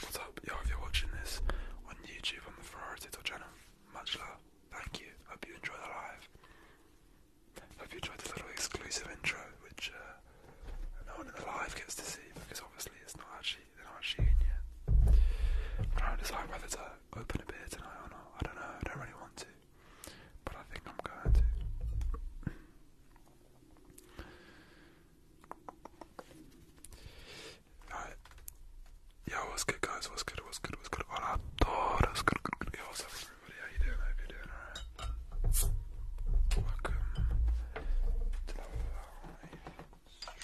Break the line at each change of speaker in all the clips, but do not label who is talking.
What's up? Yo, if you're watching this on YouTube on the Ferrari Tito channel, much love. Thank you. Hope you enjoy the live. Hope you enjoyed this little exclusive intro, which uh, no one in the live gets to see because obviously it's not actually they not actually in yet. trying to decide whether to open a beer tonight or not. I don't know. I don't really want to, but I think I'm going to. Alright. Yo, what's good, guys? What's good? What's good? What's good? Hola todos. Good, good, good. Yo, what's up, everybody? How you doing? How you doing? Alright. Welcome to the live stream. I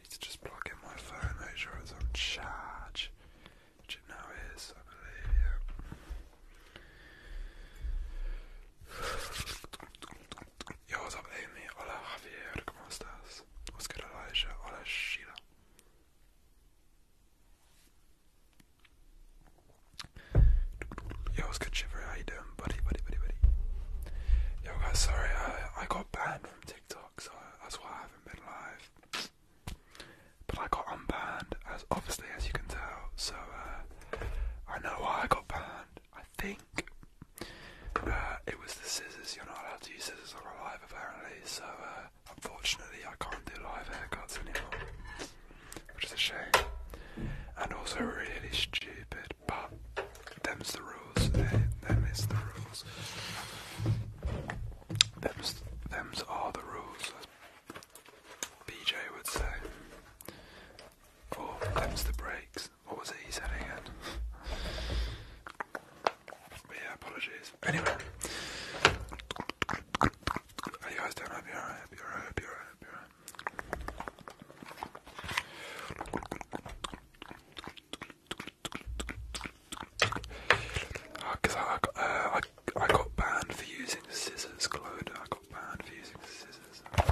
need to just plug in my phone, make sure it's on charge, which it now is, I believe. Yeah. Yo, what's up, Amy? Hola, Javier. ¿Cómo estás? What's good, Elijah? Hola, Sheila. Yo, what's good, Shiver? How you doing, buddy, buddy, buddy, buddy? Yo, guys, sorry, I, I got banned from TikTok, so that's why I haven't been live. But I got unbanned, as obviously as you can tell. So uh, I know why I got banned. I think uh, it was the scissors. You're not allowed to use scissors on live apparently, so uh, unfortunately I can't do live haircuts anymore, which is a shame. And also really stupid, but them's the rules. They, eh? them is the rules. Them's, them's all the rules, as BJ would say. Oh, cleanse the brakes. What was he said again? yeah, apologies. Anyway. How you guys doing? Ah, I hope you're alright, hope you're Because I, uh, I, got banned for using scissors, Claude. I got banned for using scissors. I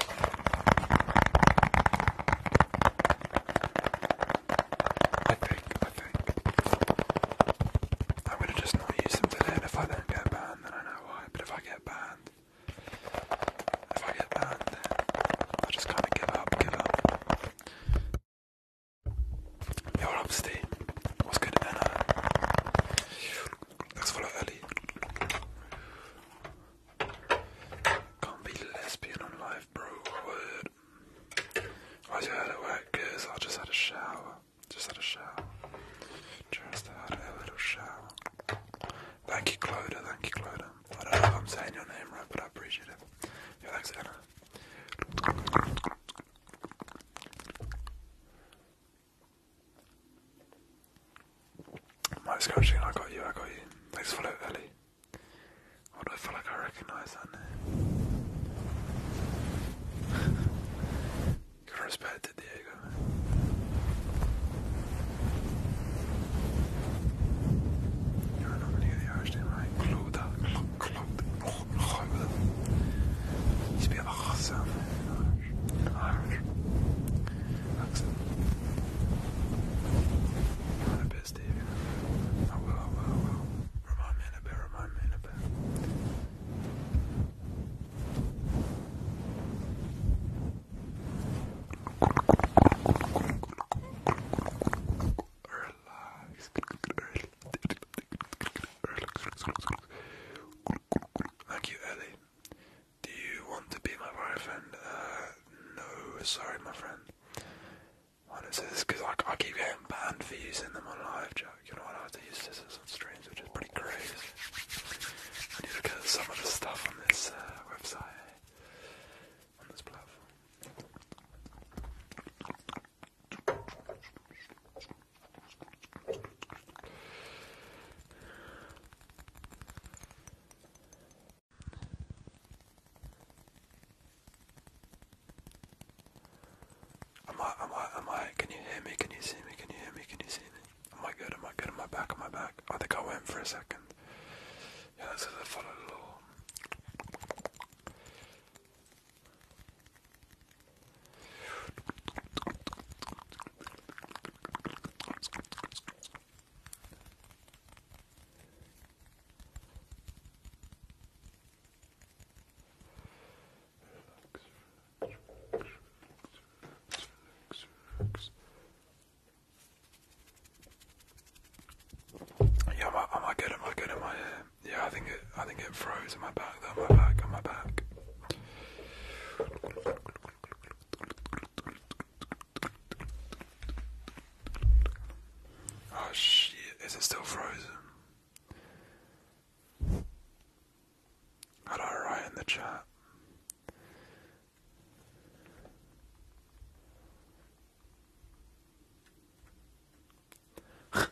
think, am gonna just not use them today, and if I don't get banned, then I know why. But if I get banned, if I get banned, then I just kind of give up, give up. Yo, what up, Steve? What's good, Anna? Thanks for the early. Can't be lesbian on live, bro. Word. I just had a whack, cause I just had a shower. Just had a shower. Just had a little shower. Thank you, Claudia. Thank you, Claudia. I don't know if I'm saying your name right, but I appreciate it. Yeah, thanks, Anna. Most coaching, I got you, I got you. Thanks for that, Ellie. Why do I feel like I recognise that name? Good respect to Diego, man. You're a nominee of the Irish team, right? Claude, Claude, Claude, Claude. You used to be a sound, man. Irish accent. You're the best, David. I will, I will, I will. Remind me in a bit, remind me in a bit. Relax. Relax. Thank you, Ellie. Do you want to be my boyfriend? Uh, no, sorry, my friend. Honestly, this because I, keep getting banned for using them on live chat. You know what? I have to use this on streams, which is pretty crazy. When you look at some of the stuff on this uh, website, on this platform. Am I, am I, am I, can you hear me, can you see me, can you hear me, can you see me? Am I good, am I good, am I back, am I back? I think I went for a second. Yeah, this is a follow the law. Yeah, am I, am I Am I good? Am I Yeah, I think it. I think it froze in my back. Though, my back. On my back. Oh is it still frozen? How do the chat?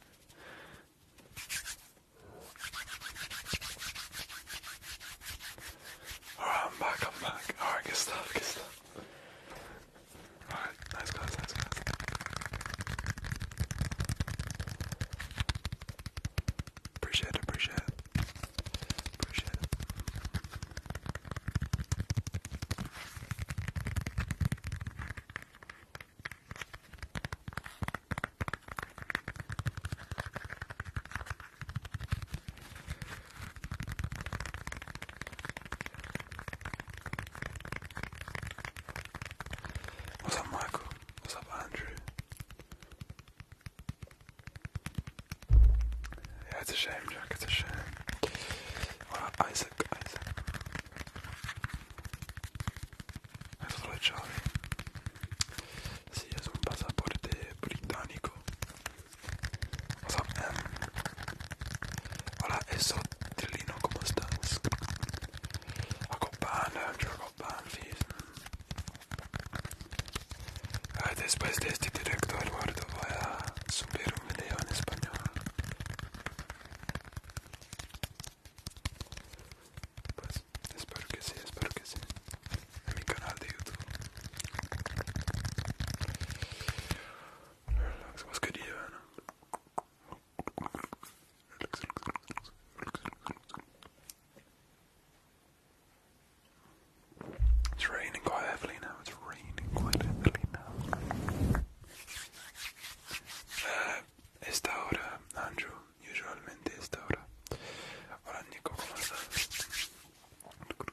Alright, I'm back, I'm back. Alright, good stuff, good stuff. Alright, nice guys, nice guys. Appreciate it, appreciate it. Appreciate it. What's up, Michael? What's up, Andrew? Yeah, it's a shame, Jack. It's a shame. Well, Isaac, Isaac. That's what Charlie. Sì, sono un passaporto britannico Hola, eso, Trilino, ¿cómo estás? Acompáñame, yo banned, ah, Después de este directo, Eduardo, voy a subir un video en español. Pues espero que sí, espero que sí. En mi canal de YouTube. It's raining quite heavily now. It's raining quite heavily now. Uh, esta hora, Andrew, usualmente esta hora.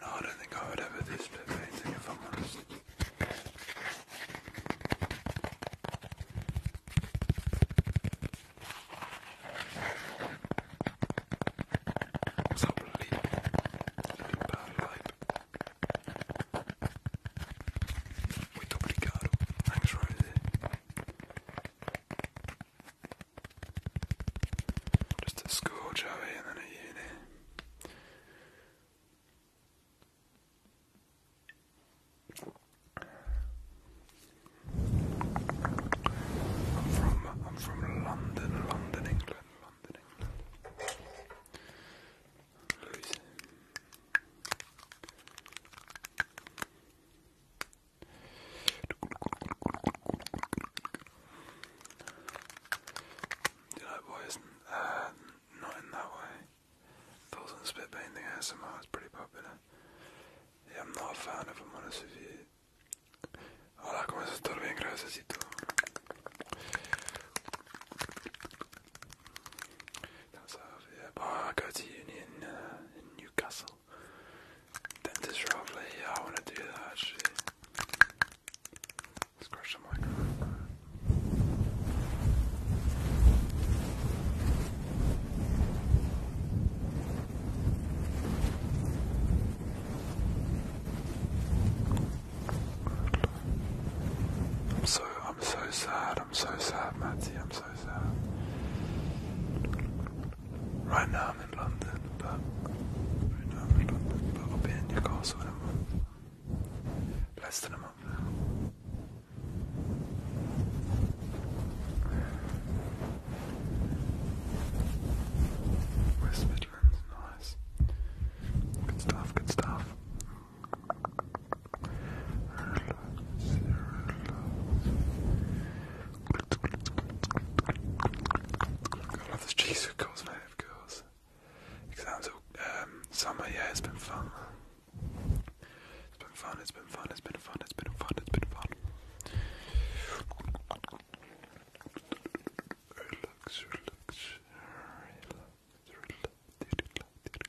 No, I don't think I would ever do split painting if I'm honest. bad light. Just at school, Joey, and then at uni. I'm from I'm from London, London, England, London, England. Do you like boys? Uh, not in that way. Thoughts on spit painting ASMR is pretty popular. I'm not a fan of them, honestly. Hola, ¿cómo estás? Todo gracias y uh, I go to uni in, uh, Newcastle. Dentist I want to do that actually. Let's crush I'm so I'm so sad. I'm so sad, Matty. Right now I'm in London, but i will be in Newcastle in Less than a month West Midlands, nice. Good stuff, good stuff. I love this cheese, of course, mate, of course. Exams, um, summer, yeah, it's been fun. It's been fun, it's been fun, it's been fun, it's been fun, it's been fun. Relax, relax, relax, relax, relax, relax,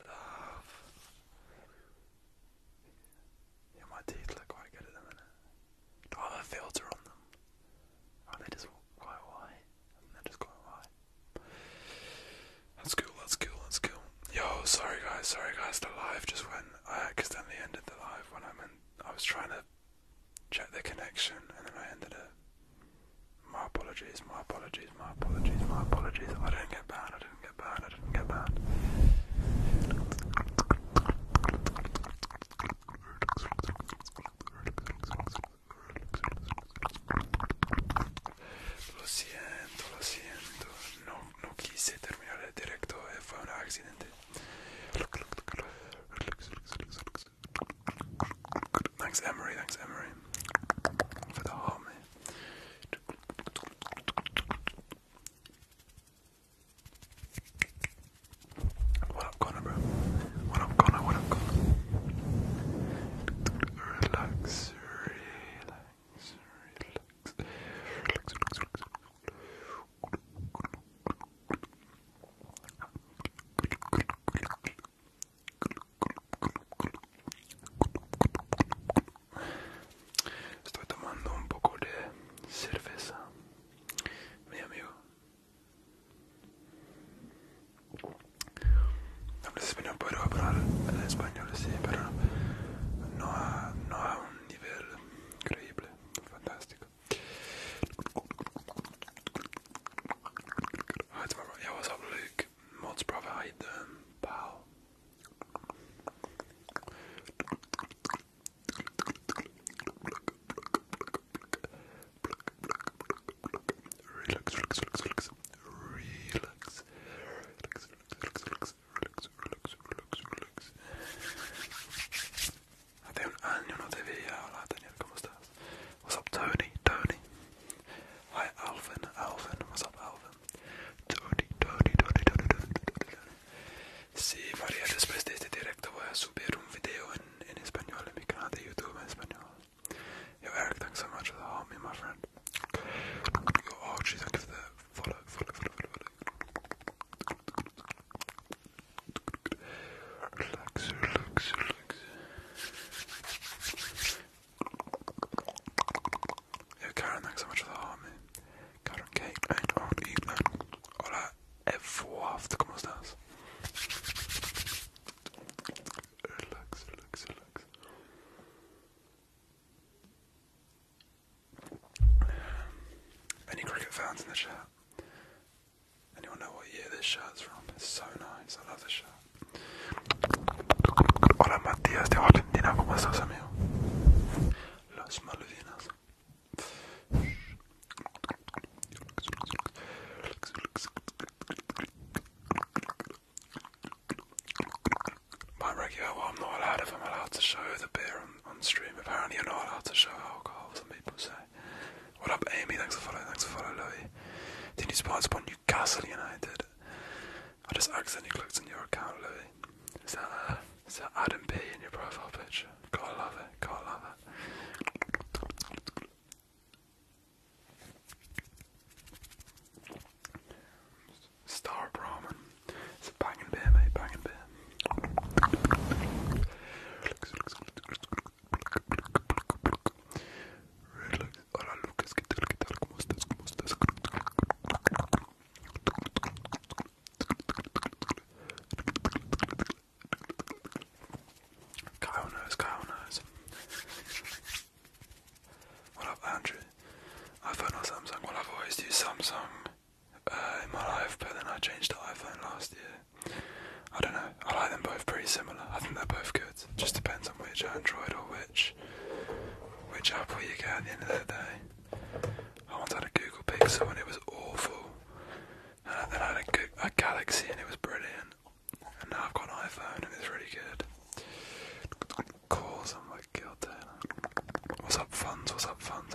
Love. Yeah, teeth look quite good at the minute. Do I have a filter on them? Are oh, they just quite white? They're just quite white. That's cool, that's cool, that's cool. Yo, sorry guys, sorry guys, the live just went. I accidentally ended the live when I was trying to check the connection and then I ended it. My apologies, my apologies, my apologies, my apologies. I didn't get banned, I didn't get banned, I didn't get banned. Lo siento, lo siento. No, no quise terminar el directo, eh, fue un accidente. Thanks, Emery. Thanks, Emery, for the heart, man. What up, Connor, bro? What up, Connor? What up, Connor? Relax, relax, relax, relax, relax, relax. Estoy tomando un poco de cerveza, mi amigo. No puedo hablar en español, sí, pero no a, no un nivel increíble fantástico. Ah, ya mods provide them. Pow. Relax, relax, relax, relax. Relax. Relax, relax, relax, relax, relax, relax, relax. Hace un año no te veía. Hola Daniel, ¿cómo estás? What's up Tony? Tony. Hi Alvin, Alvin, what's up Alvin? Tony, Tony, Tony, Tony, Tony, Tony, Tony. Si María después de este directo voy a subir un video en, en español en mi canal de YouTube en español. Yo Eric, thanks so much for the homie, my friend. Yo oh, Archie, thank you follow, follow, follow, follow, follow. Relax, relax, relax. Yo Karen, thanks so much for the heart, man. Karen Kate and on Eatland. Hola, F4, ¿cómo estás? Relax, relax, relax. Any cricket fans in the chat? Anyone know what year this is from? It's so nice, I love the shirt. Hola Matías de Valentina, ¿cómo estás amigo? Las Malvinas. My regular I'm not allowed if I'm allowed to show the beer on, stream. Apparently you're not allowed to show alcohol, some people say. What up Amy, thanks for following, thanks for following Louis. Didn't you sponsor on Newcastle United? I just accidentally clicked on your account, Louis. Is that, uh, that Adam B in your profile picture? Gotta love it, gotta love it. Star Brahman. It's a banging beer, mate, banging beer. Hola Lucas, ¿qué tal? What up, Andrew? iPhone or Samsung? Well, I've always used Samsung uh, in my life, but then I changed to iPhone last year. I don't know. I like them both pretty similar. I think they're both good. Just depends on which Android or which which app will you get at the end of the day? I once had a Google Pixel and it was awful. And then I had a, Galaxy and it was brilliant. And now I've got an iPhone and it's really good. Calls, I'm like, God damn. What's up, funds? What's up, funds?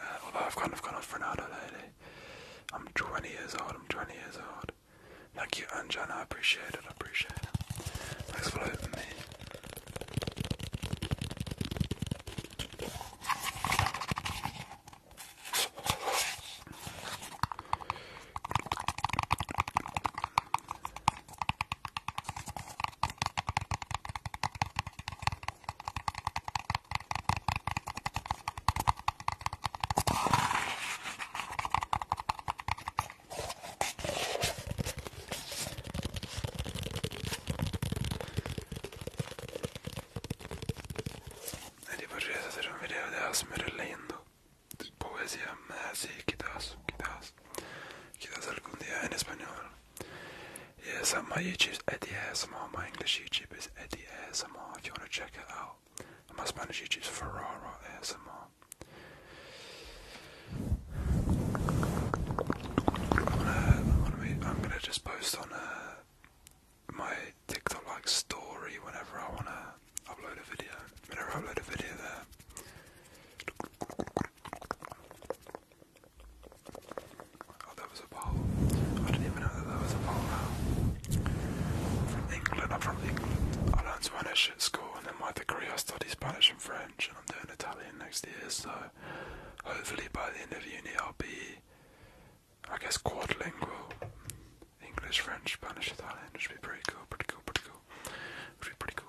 Uh, although I've kind of gone off Ronaldo lately. I'm 20 years old, I'm 20 years old. Thank you, Anjana. I appreciate it, I appreciate it. Thanks for loading me. Nadie podría hacer un video de ASMR leyendo poesía, así ah, quizás, quizás, quizás algún día en español. Yeah, so my YouTube's Eddie ASMR, my English YouTube is Eddie ASMR if you want to check it out. my Spanish YouTube's Ferrara ASMR. I'm gonna, just post on uh, my TikTok like story whenever I wanna upload a video. Whenever I upload a video there. Oh, that was a ball. I didn't even know that that was a ball now. From England, I'm from England. I learned Spanish at school, and then my degree I study Spanish and French, and I'm doing Italian next year, so hopefully by the end of uni I'll be, I guess, quadlingual. English, French, Spanish, Italian. It should be pretty cool, pretty cool, pretty cool. It should be pretty cool.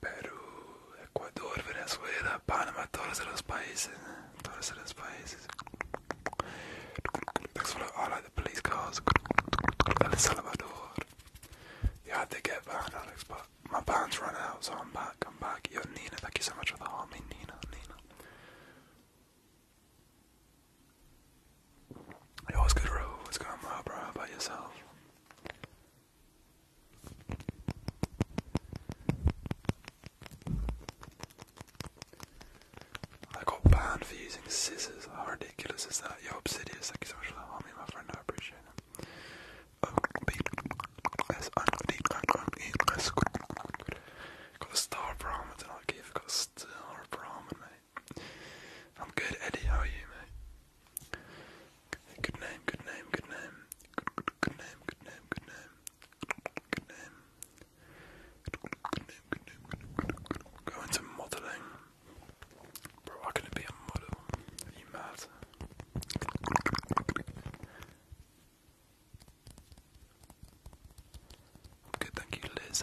Perú, Ecuador, Venezuela, Panamá, todos los países, eh, todos los países. Thanks for the police cars. El Salvador. Yeah, I did get banned, Alex, but my band's run out, so I'm back. I'm back. Yo, Nina, thank you so much for the army, Nina, Nina. Yo, what's good, bro? What's going on, bro? How about yourself? I got banned for using scissors. How ridiculous is that? you so much for the my friend. I appreciate it. Um, got a star Brahman tonight, Keith. Got a star Brahman, mate. I'm good, Eddie. How are you, mate? Good name, good name, good name. Good, name, good name, good name. Good name. Good name, good name, modeling. Bro, how can it be a model? Are you mad? I'm good, thank you, Liz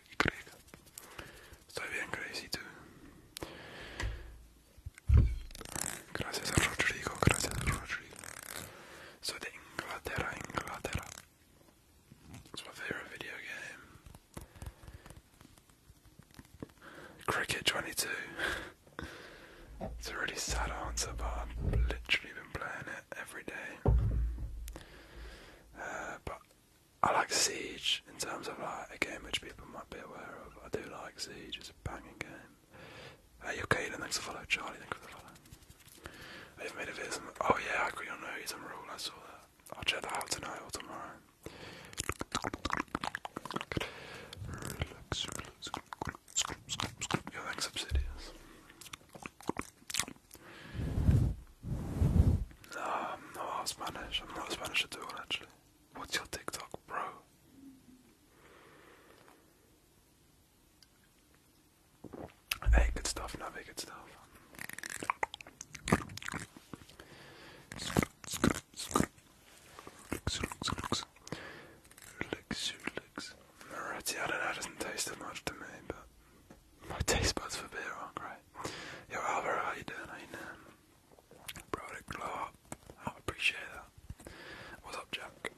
y crezca. Estoy bien crazy too. Gracias a Rodrigo, gracias a Rodrigo. Soy It's my favorite video game. Cricket 22. It's a really sad answer, but I've literally been playing it every day. Uh, but I like Siege in terms of like a game which people might be aware of. I do like Siege, it's a banging game. Hey, you Caitlin, thanks for follow. Charlie, thanks for the follow. They've made a video. oh yeah, I agree on he's and Rule. I saw that. I'll check that out tonight or tomorrow. Relax, Obsidious. No, I'm not half Spanish. I'm not Spanish at all, actually. What's your TikTok, bro? Hey, good stuff, Navi, good stuff. Lux, my taste buds for beer aren't great. Yo, Alvaro, how you doing? How you doing? glow up. I appreciate that. What's up, Jack?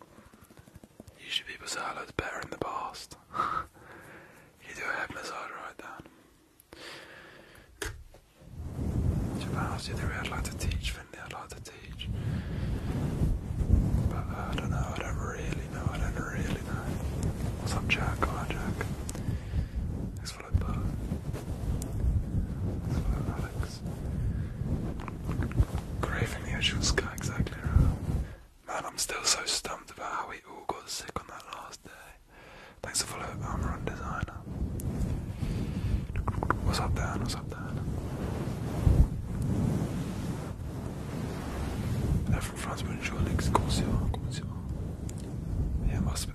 Usually people say hello better in the past. you do a head right then. Japan, I would like to teach, Finley, I'd like to teach. But I don't know, I don't really know, I don't really know. What's up, Jack? Hi, Jack slipper. Hello, Alex. sky, exactly Man, I'm still so stumped about how we all got sick on that last day. Thanks for following Amaron Designer. What's up, Dan? What's up, Dan? They're France, bonjour, Alex. Comment ça va? Comment ça va? Yeah, must be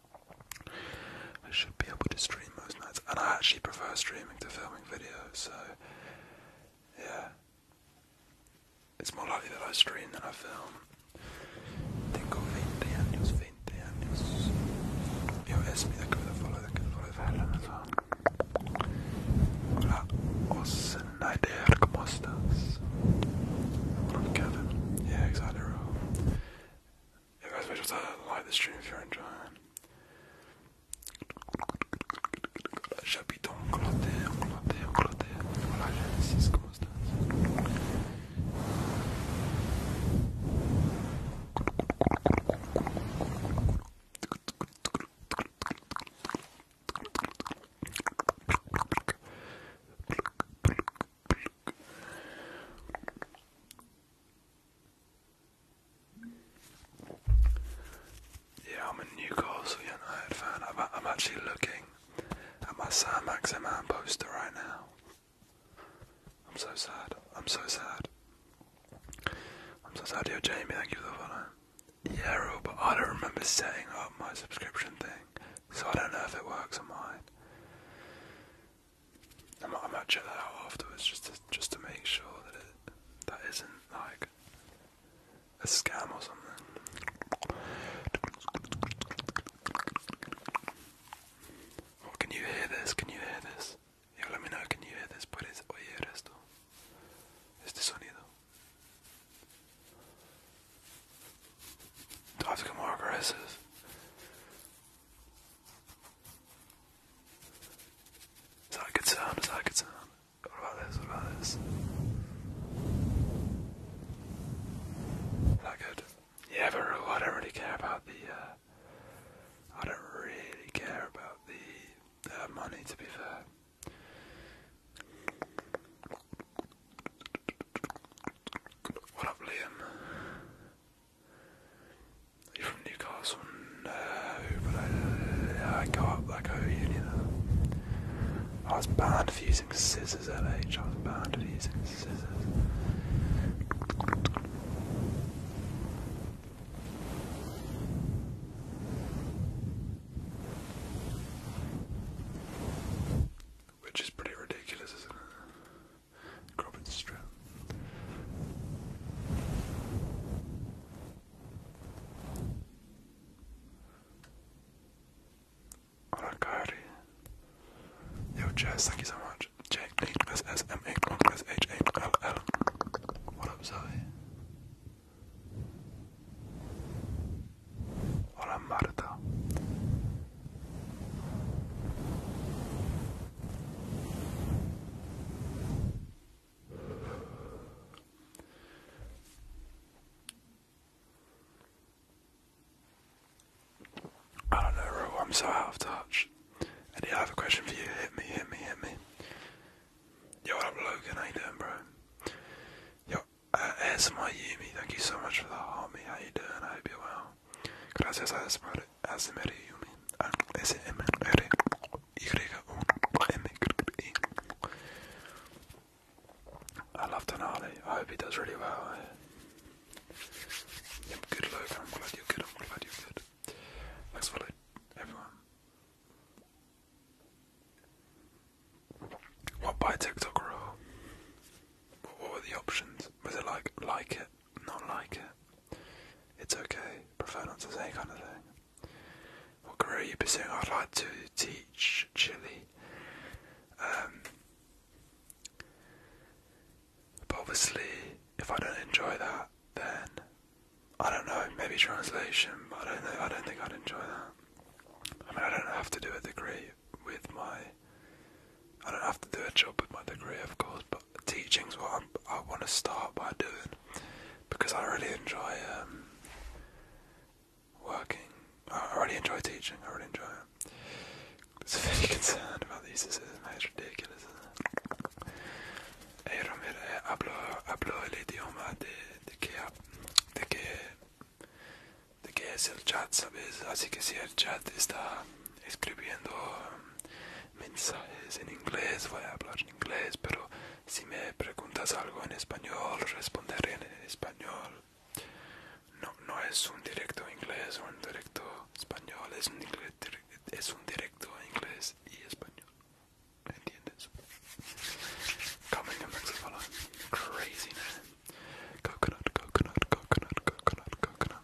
I should be able to stream most nights, and I actually prefer streaming to filming videos, so yeah. It's more likely that I stream than I film. Tengo 20 años, 20 años. Yo es que me follow, que me follow Helen as well. Hola, Osnider, ¿cómo estás? I'm Kevin. Yeah, exactly. Yeah, guys, make sure to like the stream if you're enjoying. J'habite en Angleterre, Angleterre, Angleterre. Voilà, j'ai 6 constants. Yeah, I'm a Newcastle United fan. I'm, actually looking at my Sam Maximan poster right now. I'm so sad. I'm so sad. I'm so sad. Yo, Jamie, thank you for the follow. Yeah, Roo, I don't remember setting up my subscription thing, so I don't know if it works or not. I might, I might check that out afterwards just to, just to make sure that it that isn't like a scam or something. Oh, can you hear this? Can you hear this? Yeah, let me know. Can you hear this? ¿Puedes oír esto? Este sonido. Do I have to more aggressive? Is that a good sound? Is that good sound? What about this? What about this? that good? Yeah, but I don't really care about the. Uh, I don't really care about the money, to be fair. What up, Liam? You're from Newcastle? No, but I, go up, I go to I was banned for using scissors at I was banned for using scissors. Which is pretty ridiculous, isn't it? Robert Stroud. Arakari. thank you so much. Jake, 8 plus S, M, What up, Zoe? Hola, I don't know, Ro, I'm so out of touch. Eddie, I have a question for you. Hit me, hit me, hit me. Yo, what up, Logan? How you doing, bro? Yo, as my Yumi, thank you so much for the homie. me. How you doing? I hope you're well. I love Denali. I hope he does really well. good luck. I'm glad you're good. I'm glad you're good. Thanks for it, everyone. What by TikTok or What were the options? Was it like like it, not like it. It's okay, prefer not to say kind of thing. What career you'd be pursuing? I'd like to teach Chile. Um, but obviously, if I don't enjoy that, then I don't know. Maybe translation. I don't I don't think I'd enjoy that. I mean, I don't have to do a degree with my. I don't have to do a job with my degree, of course. But teaching's what I'm I want to start by doing because I really enjoy um, working. I really enjoy teaching. I really enjoy it. It's very concerned about these decisions. It's ridiculous. Ey Romero, hablo, hablo el idioma de, de, que, de, que, de que es el chat, ¿sabes? Así que si el chat está escribiendo um, mensajes en inglés, voy a hablar en inglés, pero si me preguntas algo en español, responderé en español. No, no es un directo inglés o un directo español, es un, directo es un directo inglés y español. ¿Entiendes? Coming to Mexico, crazy Coconut, coconut, coconut, coconut, coconut.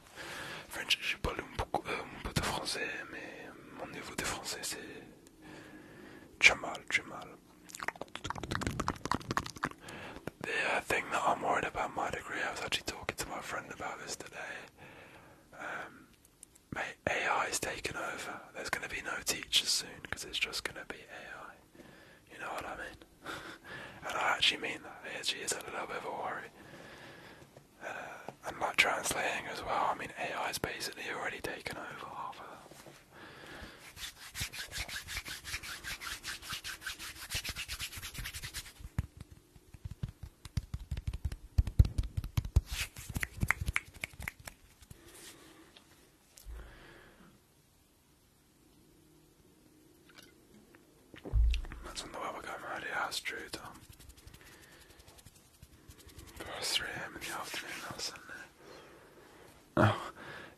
The thing that I'm worried about my degree, I was actually talking to my friend about this today. Um, mate, AI is taking over. There's going to be no teachers soon because it's just going to be AI. You know what I mean? and I actually mean that. It actually is a little bit of a worry and like translating as well, I mean AI has basically already taken over That's when the world will go true, Tom. First 3 a.m. in the afternoon on Sunday. Oh,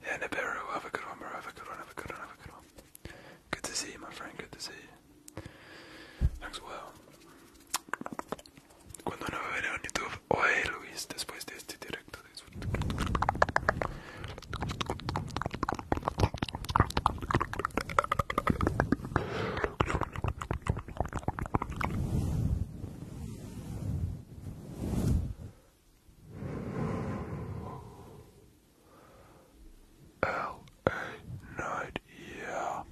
yeah, Nibiru, have a good one, Have a good one, have a good one, have a good one. Good to see you, my friend. Good to see you. Thanks, well. Cuando no me veré YouTube. Oye, Luis, después de este directo. L.A. Night, yeah.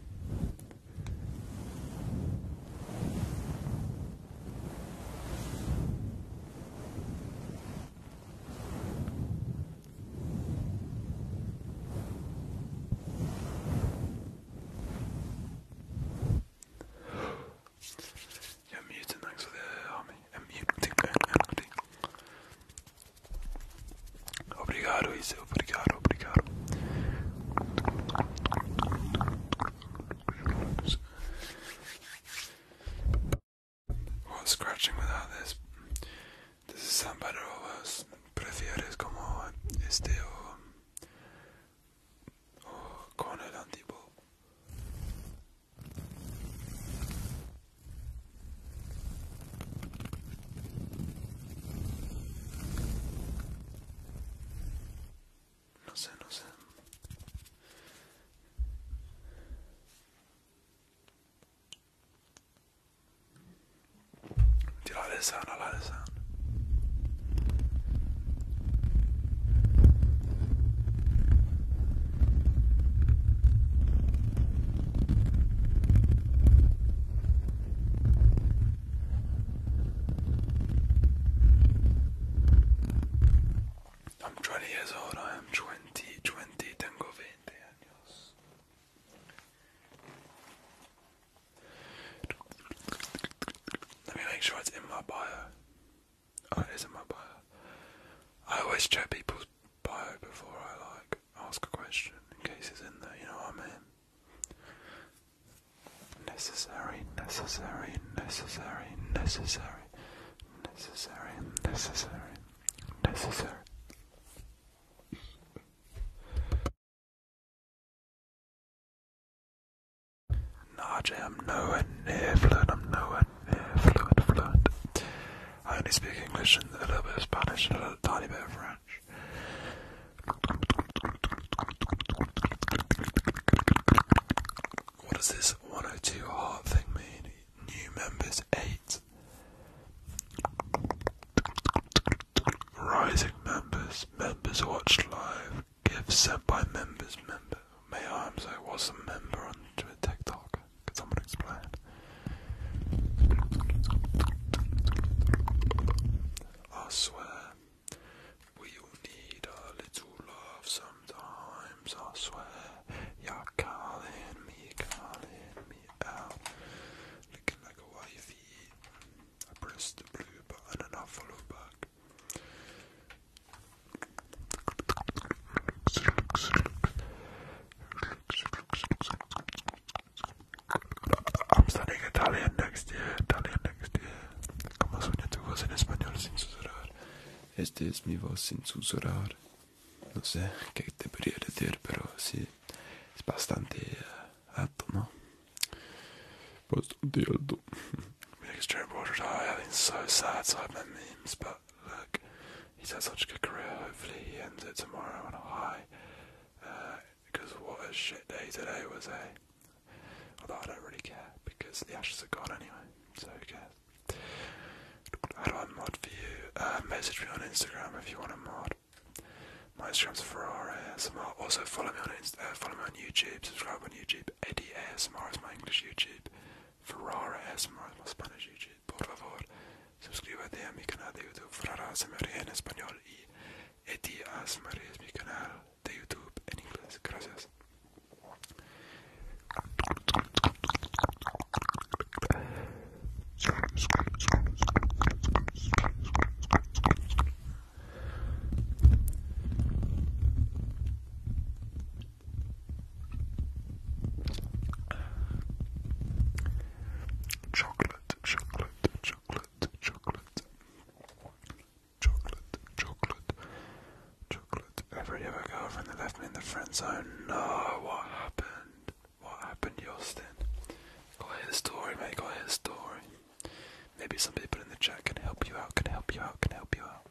Jag myter också det av mig. En mjukting, en mjukting. Obrigado, Ise. Obrigado, obrigado. Well, scratching without this Entonces Zambarovas prefieres como este o, o con el antibó. No sé, no sé. Do you like this sound? I like this sound. I'm 20 years old, I am 20, 20, tengo 20 años. Let me make sure it's in my bio. Oh, it is in my bio. I always check people's bio before I like ask a question in case it's in there, you know what I mean? Necessary, necessary, necessary, necessary, necessary, necessary, necessary. Najee, I'm nowhere near fluent. I'm nowhere near fluent, fluent. I only speak English and a little bit of Spanish and a little, tiny bit of French. What does this 102 heart thing mean? New members 8. Rising members, members watched live, gifts sent by members, member. May I say, what's a member on TikTok? Could someone explain? I swear, we all need a little love sometimes, I swear. You're calling me, calling me out, looking like a wifey. I pressed the blue button and I followed back. I'm studying Italian next year, Italian next year. Como soñaste vos en español sin susurrar? Este es mi voz sin susurrar. No sé qué te podría decir, pero sí, es bastante eh, alto, ¿no? But the Dildo. Extreme Waters, oh, I've been so sad, so I've met memes, but look, he's had such a good career. Hopefully, he ends it tomorrow on a high. Because uh, what a shit day today was, eh? Although I don't really care, because the ashes are gone anyway, so okay. How do I mod for you? Uh, message me on Instagram if you want to mod. Maestroms for ASMR. Uh, also follow me on Insta, uh, follow me on YouTube, subscribe on YouTube. Eddie is my English YouTube. Ferrara ASMR is my Spanish YouTube. Por favor, suscríbete a mi canal de YouTube Ferrara ASMR en español y es mi canal de YouTube en inglés. Gracias. Chocolate, chocolate, chocolate, chocolate, chocolate, chocolate, chocolate. Every other girlfriend that left me in the friend zone. No, what happened? What happened, Justin? Gotta hear the story, mate. Gotta hear the story. Maybe somebody put in the chat can help you out, can help you out, can help you out.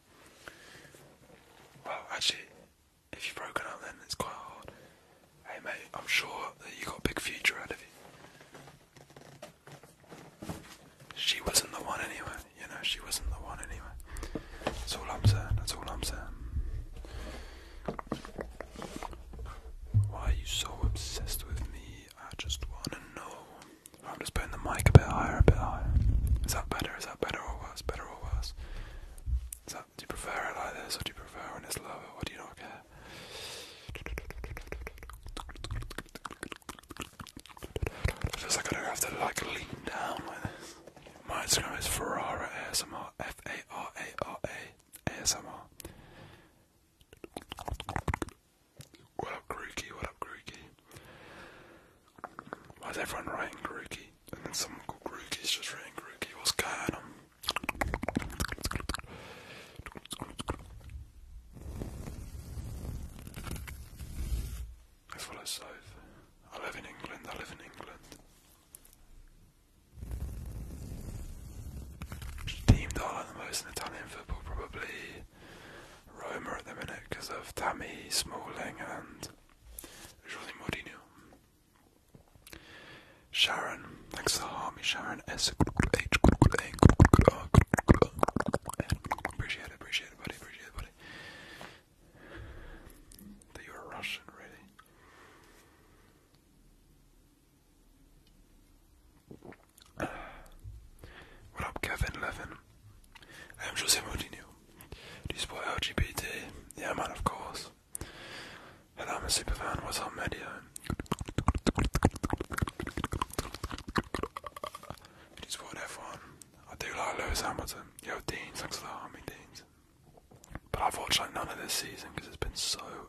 Well, actually, if you've broken up, then it's quite hard. Hey, mate, I'm sure that you got a big future out of you. She wasn't the one anyway, you know, she wasn't the one anyway. That's all I'm saying, that's all I'm saying. Why are you so obsessed with me? I just wanna know. I'm just putting the mic a bit higher, a bit higher. Is that better? Is that better or worse? Better or worse? Is that, do you prefer it like this, or do you prefer when it's lower, or do you not care? It feels like I don't have to like lean down like this. My Instagram is Ferrara ASMR, F A R A R A ASMR. What up, Grookey? What up, Grookey? Why is everyone writing Grookey? And then someone called just writing Grookey. What's going on? I follow South. I live in England. I live in England. Team that I most Italian probably Roma at the minute because of Tammy Smalling and José Mourinho. Sharon, thanks for harming Sharon S. Appreciate it, appreciate it, buddy, appreciate it, buddy. That you're Russian, really. What up, Kevin Levin? I am Jose Mourinho. Do you support LGBT? Yeah, man, of course. And I'm a super fan. What's up, Medio? Do you support F1? I do like Lewis Hamilton. Yo, Dean, thanks for the army, Dean. But I've watched like none of this season because it's been so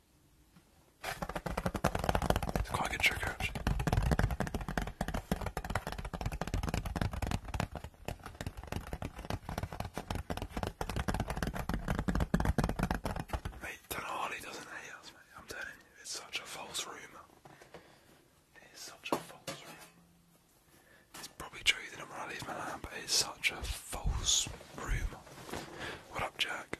Go and get your Mate, Tanahali doesn't hate us, mate. I'm telling you, it's such a false rumour. It is probably true that I'm gonna my land, but it's such a false rumour. What up, Jack?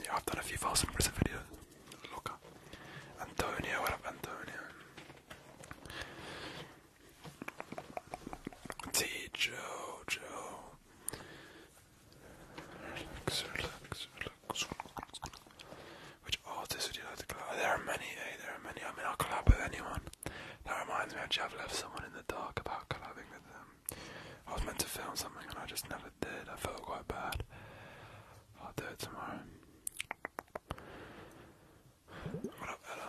yeah, I've done a few false impressive videos. Look up. Antonio, what up, Antonio? T. Joe, Joe. Relax, which artists would you like to There are many, There are many. I mean, I'll collab with anyone. That reminds me, I've left someone in the dark about collabing with them. I was meant to film something and I just never did. I feel quite bad. I'll do it tomorrow. What up, Ella?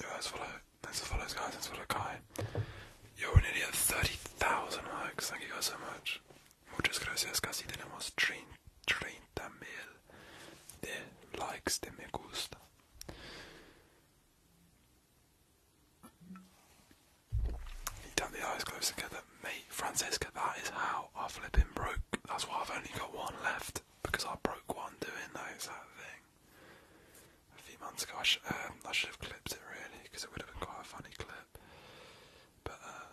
Yo, let follow, let's follow guys, let's follow You're an idiot, 30,000 likes, thank you guys so much. Muchas gracias, casi tenemos 30 mil de likes, de me gusta. You tap the eyes close together. Mate, Francesca, that is how I flipping broke. That's why I've only got one left, because I broke one doing that thing. A few months ago, I, um, should have clipped it really, because it would have been quite a funny clip. But uh,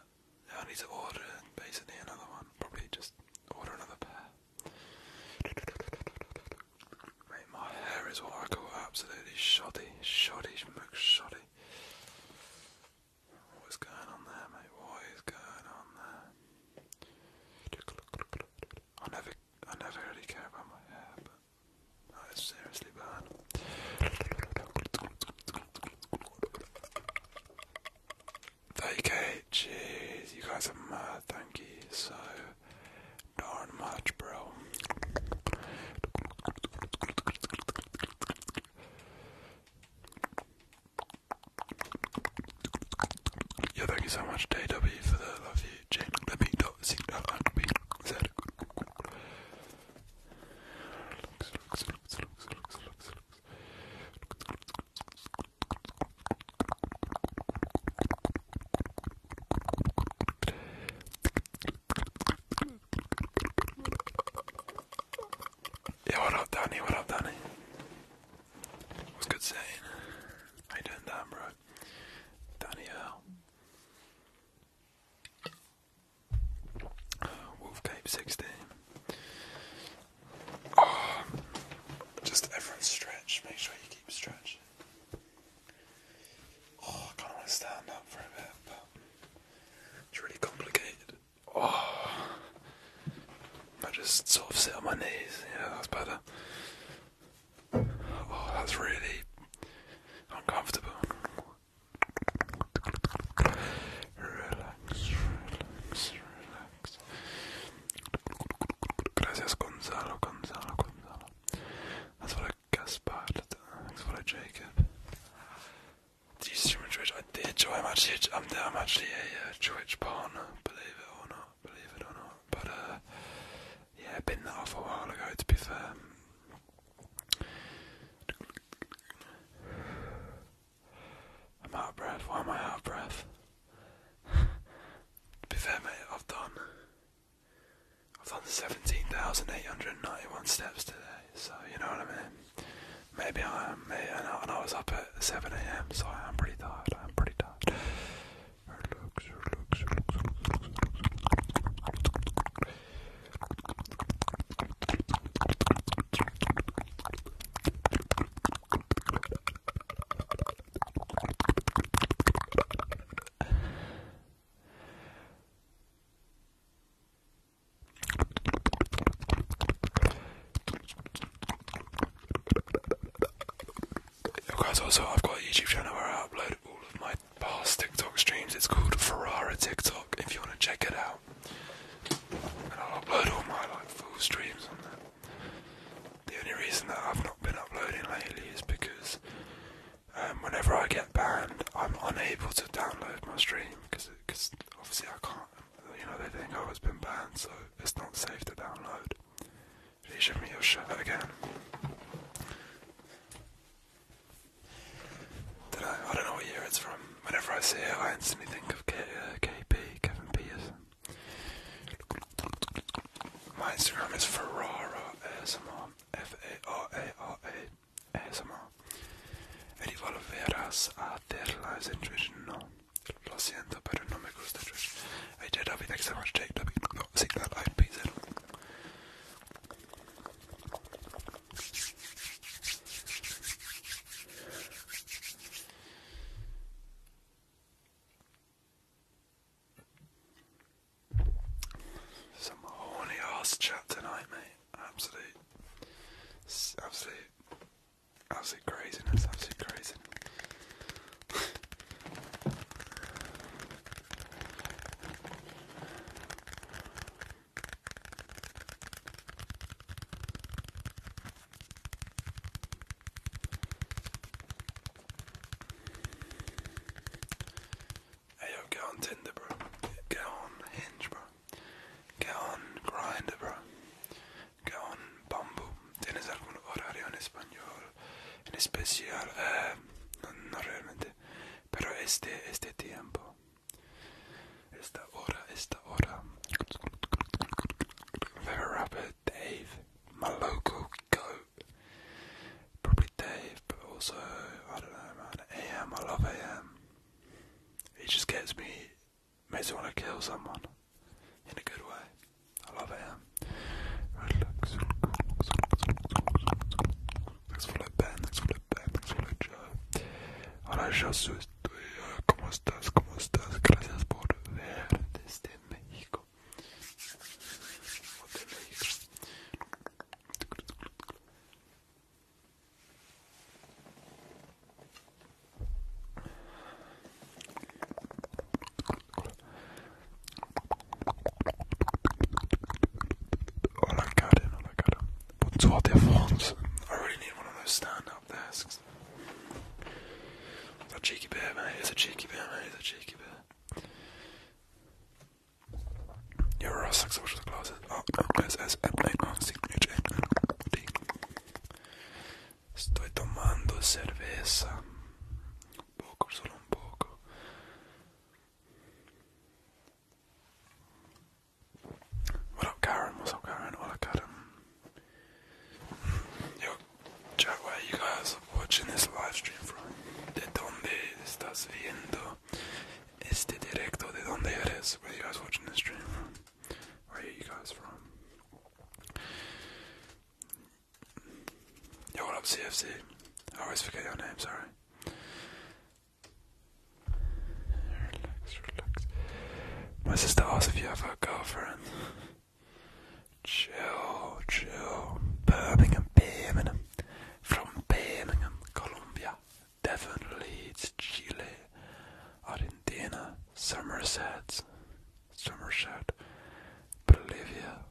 I need to order basically another one. Probably just order another pair. Mate, my hair is what I call absolutely shoddy, shoddy, muck shoddy. What is going on there, mate? is going on there? I never, I never really care about my hair, but that is seriously bad. Thank k jeez, you guys are mad, thank you so darn much, bro. Yeah, thank you so much, JW, for the love you. Yeah, what up, Danny? What up, Danny? What's good saying? How you doing, bro? Danny Earl. Wolf Cape 16 just everyone stretch. Make sure you keep stretching. Oh, I kind of stand up for a bit, it's really complicated. Oh, I just sort of sit on my knees. Yeah, that's better. Oh, that's really uncomfortable. Relax, relax, relax. Gracias, Gonzalo, Gonzalo, Gonzalo. That's what I guess pilot. That's what I Jacob. Do you stream on Twitch? I did. I'm actually, I'm, I'm actually a uh, Twitch partner, believe it or not. Believe it or not. But uh, yeah, I've been that off a while ago. To be fair. I'm out of breath. Why am I out of breath? to be fair, mate, I've done. I've done 17,891 steps today, so you know what I mean. Maybe I am, mate, and I, and I was up at 7 a.m., so I am pretty tired. I am pretty tired guys, also I've got a YouTube channel where I upload all of my past TikTok streams. It's called Ferrara TikTok. If you want to check it out, and I'll upload all my like full streams on that. The only reason that I've not been uploading lately is because um, whenever I get banned, I'm unable to download my stream because obviously I can't. You know they think oh it's been banned, so it's not safe to download. Please show me your shirt again. I don't know what year it's from. Whenever I see it, I instantly think of KP, uh, Kevin Peterson. My Instagram is Ferrara ASMR, F A R A R A ASMR. E volverás a hacer lives in Twitch? No. Lo siento, pero no me gusta Twitch. Hey, JW, thanks so much, JW. Oh, see that light some horny ass chat tonight, mate. Absolute, absolute, absolute craziness, absolute crazy. Hey yo, on Tinder, bro. Go on Hinge, bro. Go on Grinder, bro. Go on bamboo. ¿Tienes algún horario en español? En especial, eh, no realmente, pero este, este tiempo. Esta hora, esta hora. Very rapid. Dave, my local goat. Probably Dave, but also, I don't know, man. AM, I love AM. It just gets me, makes me want to kill someone in a good way. I love AM. Relax. Thanks for the Ben, thanks for the Ben, thanks for the Joe. Ahora yo soy tuyo. ¿Cómo estás? ¿Cómo estás? Gracias por verte de México. O de México. Oh, I I really need one of those stand up desks. A cheeky bear, mate. He's a cheeky bear, mate. He's a cheeky bear. You're a six social classes. Oh, no, S, S, M, A, R, C, H, N, N, D. Estoy tomando cerveza. Un poco, solo un poco. What up, Karen? What's up, Karen? Hola, Karen. Yo, where you guys are watching this live stream from. ¿De dónde estás viendo este directo? ¿De dónde eres? Where you guys watching this stream Where are you guys from? Yo, what up, CFC? I always forget your name, sorry. Relax, relax. My sister asked if you have a girlfriend. Chile, Chile, Birmingham, Birmingham, from Birmingham, Colombia, Devon, Leeds, Chile, Argentina, Somerset, Somerset, Bolivia,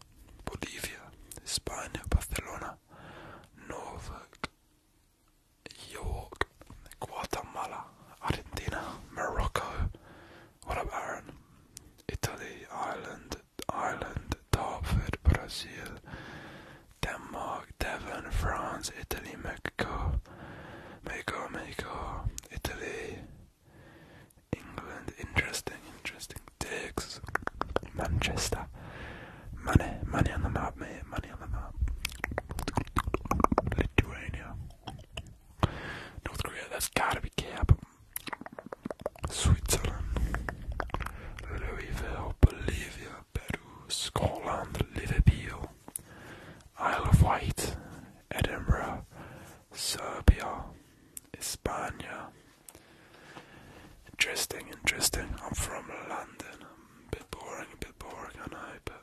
Bolivia, Spain, Barcelona, Norfolk, York, Guatemala, Argentina, Morocco, what up, Aaron? Italy, Ireland, Ireland, Dartford, Brazil, Denmark, Devon, France, Italy, Mexico, Mexico, Mexico, Italy, England. Interesting, interesting. Dicks, Manchester. Money, money on the map, mate. Money on the map. Lithuania. North Korea, that's gotta be cap. Switzerland, Louisville, Bolivia, Peru, Scotland, Liverpool, Isle of Wight, Edinburgh, Serbia, Spain. Interesting, interesting. I'm from London. I'm a bit boring, a bit boring, I know, but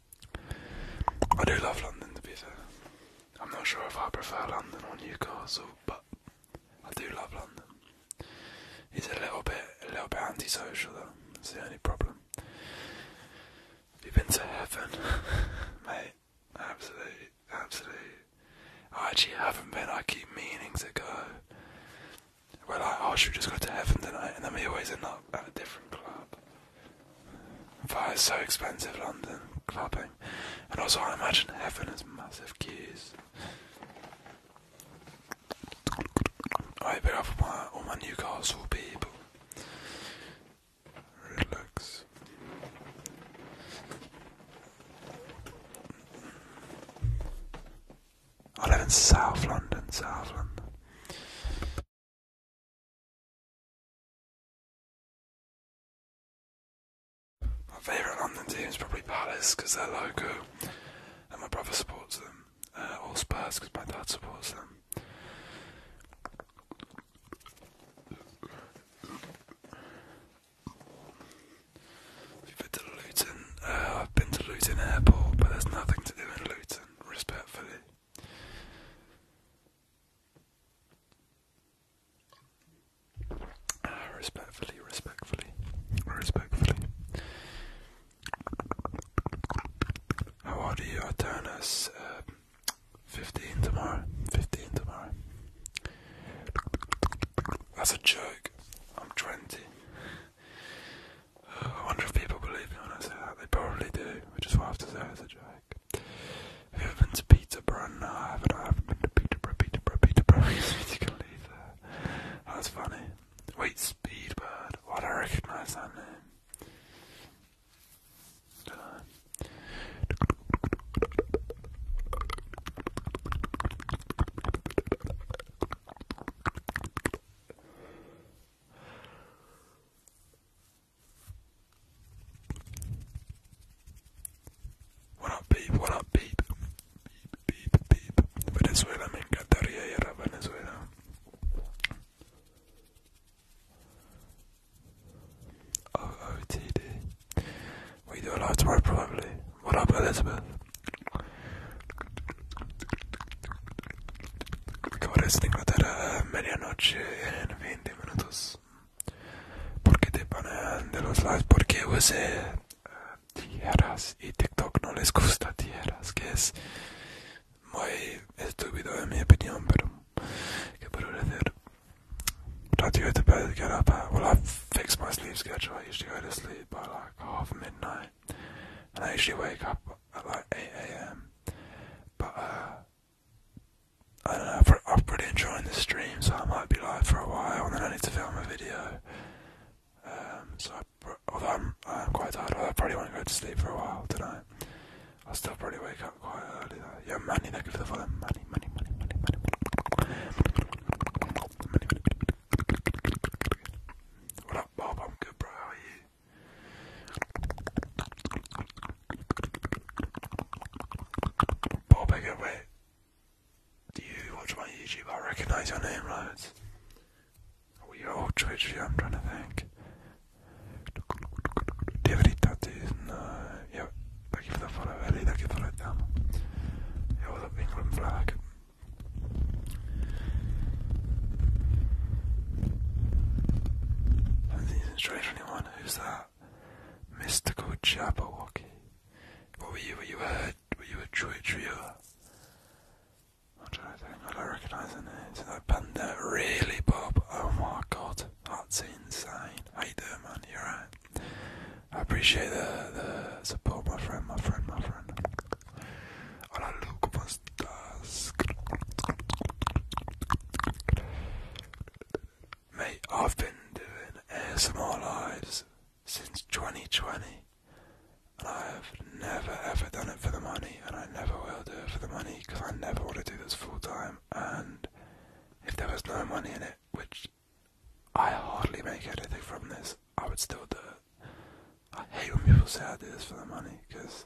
I do love London to be fair. I'm not sure if I prefer London or Newcastle, but I do love London. He's a little bit a little bit antisocial though, that's the only problem. You've been to heaven, mate. Absolutely, absolutely. I actually haven't been, I keep meaning to go. we I should just go to heaven tonight? And then we always end up at a different club is so expensive, London clubbing, and also I imagine heaven has massive queues. I bit off my all my Newcastle people. Relax. I live in South London, South London. My favourite London team is probably Palace because they're local and my brother supports them, uh, or Spurs because my dad supports them. If you been to Luton, uh, I've been to Luton Airport, but there's nothing to do in Luton, respectfully. Ah, respectfully, respectfully, respectfully. How old are you? I um, 15 tomorrow. 15 tomorrow. That's a joke. I'm 20. Uh, I wonder if people believe me when I say that. They probably do, which is why I have to say it's a joke. Have you ever been to Peterborough? No, I haven't. I haven't been to Peterborough. Peterborough. Peterborough makes oh, That's funny. Wait, Speedbird. Why do I recognise that name? do what up, beep? What up, beep? Beep, beep, beep. Venezuela, me encantaría ir a Venezuela. OOTD. We do a lot of work, probably. What up, Elizabeth? Acabo de estar en Inglaterra eh, medianoche en 20 20 porque te ponen de los por porque usé eh, tierras y TikTok no les gusta tierras que es muy estúpido en mi opinión pero que puedo decir Radio to bed, get well, I fixed my sleep schedule. I used to go to sleep by like half midnight, and I usually wake up at like 8 a.m. I don't know, I'm, I'm pretty enjoying the stream, so I might be live for a while, and then I need to film a video. Um, so, I, although I'm, quite tired, I probably want to go to sleep for a while tonight. I'll still probably wake up quite early though. Yeah, money, thank you the follow. Money, money, money, money, money, money. money, money. What up, Bob? I'm good, bro. How are you? Bob Eggert, wait. Do you watch my YouTube? I recognise your name, loads. Oh, are all Twitch I'm trying to think. Do you Yeah, thank you for the follow, Ellie. Thank you the down. Yeah, with the England flag. anyone. Who's that? mystical Jabberwocky. What were you? Were you a? Were you a Troy Trio? I'm trying to think. I don't recognise the name. Is it like Panda? Really, Bob? Oh my God, that's insane. How you doing, man? You're right. I appreciate the the support, my friend, my friend, my friend. Hola, look, Mate, I've been doing ASMR lives since 2020, and I have never ever done it for the money, and I never will do it for the money because I never want to do this full time. And if there was no money in it, which I hardly make anything from this, I would still do it. I hate when people say I do this for the money because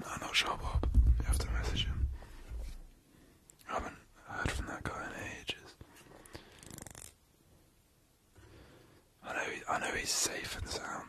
no, not Sharbop. You have to message him. I haven't heard from that guy in ages. I know. I know he's safe and sound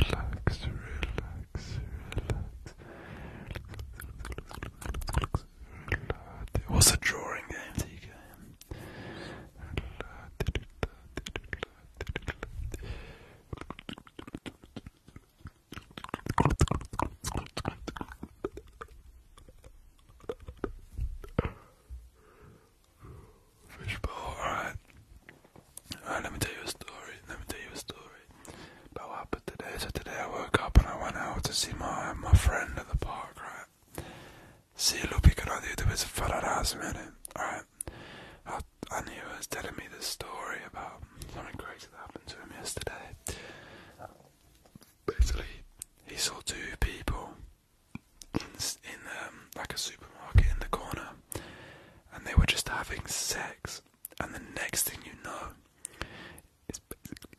Relax, relax, relax. relax. It was a drawing game, TK. Fishbowl, alright. let me tell you a story. Let me tell you a story about what happened today. So today I woke up and I went out to see my my friend at the park, right? See Lupi Canal YouTube is Fararaz minute. Alright. I, I knew he was telling me this story about something crazy that happened to him yesterday. Basically, he saw two people in, um, like a supermarket in the corner, and they were just having sex. And the next thing you know, it's basically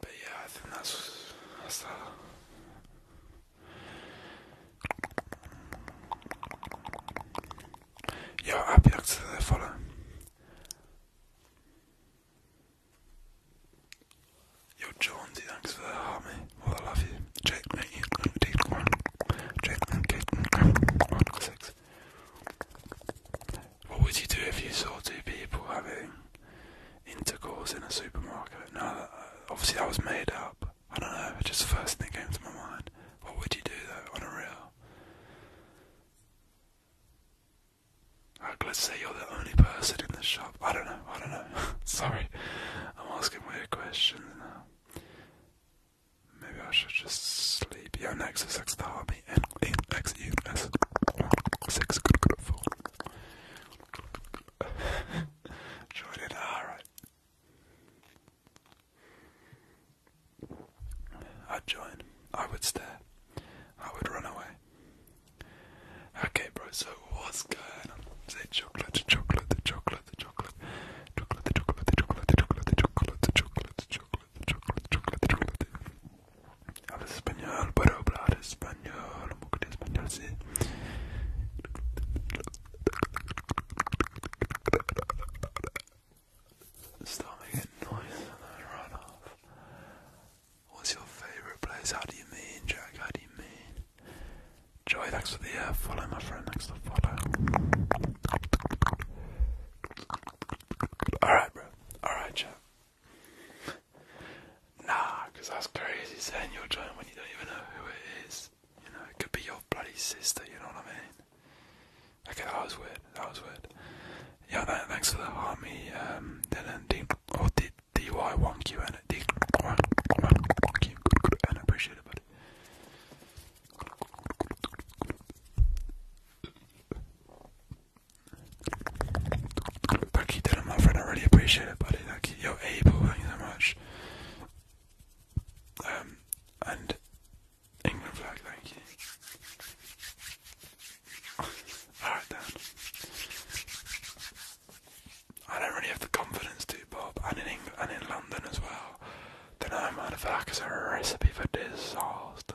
But yeah, I think that's that's that. Yo, happy to the follow. Yo, John, thanks for the heart, Well, I love you. Jake, mate, you Jake, Six. What would you do if you saw two people having intercourse in a supermarket? Now, uh, obviously that was made up. I don't know. It's just the first thing that came to my mind. What would you do though on a real? Like, let's say you're the only person in the shop. I don't know. I don't know. Sorry, I'm asking weird questions now. Maybe I should just sleep. Charlie BMX six Tommy and eight X U S six good good four. Join it, alright. I'd join. I would stare. I would run away. Okay, bro, so what's going on? Say chocolate, chocolate, chocolate, chocolate, chocolate, chocolate, chocolate, chocolate, chocolate, chocolate, chocolate, chocolate, chocolate, chocolate, chocolate, chocolate, Stop making noise and then run off. What's your favorite place? How do you mean, Jack? How do you mean? Joy, thanks for the uh, follow, my friend. Thanks for follow. Alright, bro. Alright, chat. Nah, because that's crazy saying you'll join when you don't even know who it is. You know, it could be your bloody sister, you know what I mean? Okay, that was weird. That was weird. Yeah, no, thanks for the army, um, Dylan, D, or oh, D, DY1Q, and D, one and appreciate it, buddy. Thank you, Dylan, my friend. I really appreciate it, buddy. Thank you. You're able. thank you so much. Um, and England flag, thank you. Alright then. I don't really have the confidence to, Bob, and in England, and in London as well. Then I'm out of that because a recipe for disaster.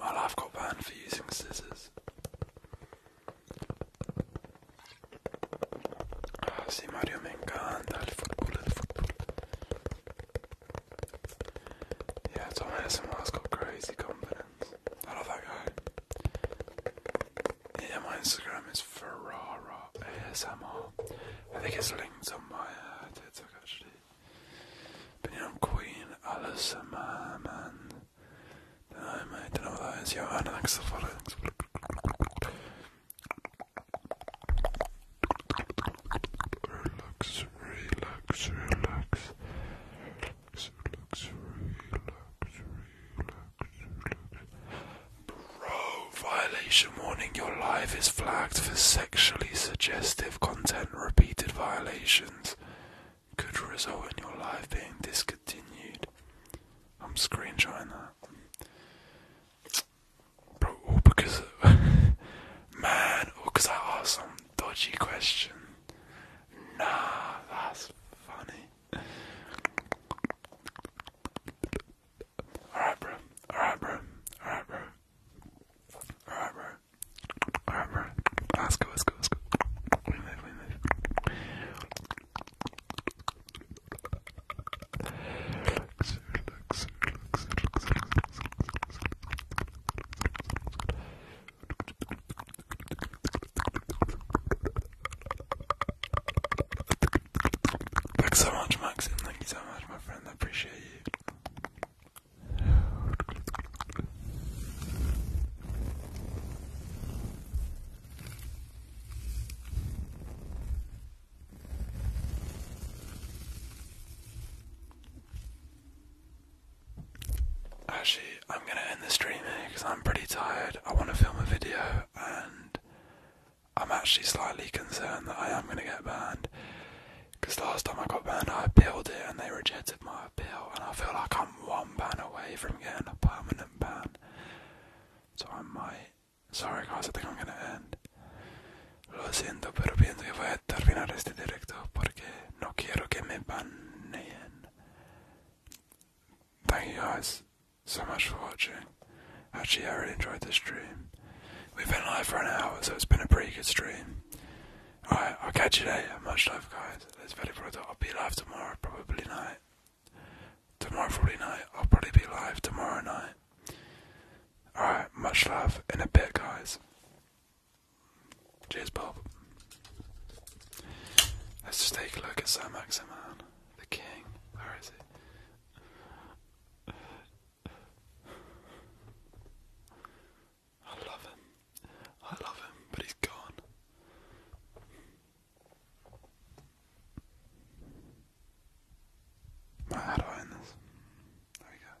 my life got banned for using scissors. Ah, sí, Mario, me encanta el fútbol, el fútbol. Yeah, has got crazy confidence. I love that guy. Yeah, my Instagram is Ferrara ASMR. I think it's linked on my uh, TikTok actually. But yeah, i Queen Alice and man. No, don't know what that is. Yo, Anna, thanks for following. Relax, relax, relax. Relax, relax, relax, relax. Bro, violation warning. Your live is flagged for sexually suggestive content. Repeated violations could result in your live being discontinued. I'm screenshotting that. Bro, all because. man, all because I asked some dodgy question. Nah, that's funny. Alright, bro. Alright, bro. Alright, bro. Alright, bro. Alright, bro. Let's go, let's go, let's go. We move, we move. Luxor, luxor, luxor, luxor, luxor, luxor, luxor. Thanks so much, Maxim. Thank you so much, my friend. I appreciate you. Actually, I'm gonna end the stream because I'm pretty tired. I want to film a video and I'm actually slightly concerned that I am going to get banned. Because last time I got banned, I appealed it and they rejected my appeal, and I feel like I'm one ban away from getting a permanent ban. So I might. Sorry, guys, I think I'm going to end so much for watching. Actually, I really enjoyed this stream. We've been live for an hour, so it's been a pretty good stream. Alright, I'll catch you later. Much love, guys. Let's It's very brutal. I'll be live tomorrow, probably night. Tomorrow, probably night. I'll probably be live tomorrow night. Alright, much love in a bit, guys. Cheers, Bob. Let's just take a look at Sam Maximan, the king. Where is he? I love him. I love him, but he's gone. how do I end this? There we go.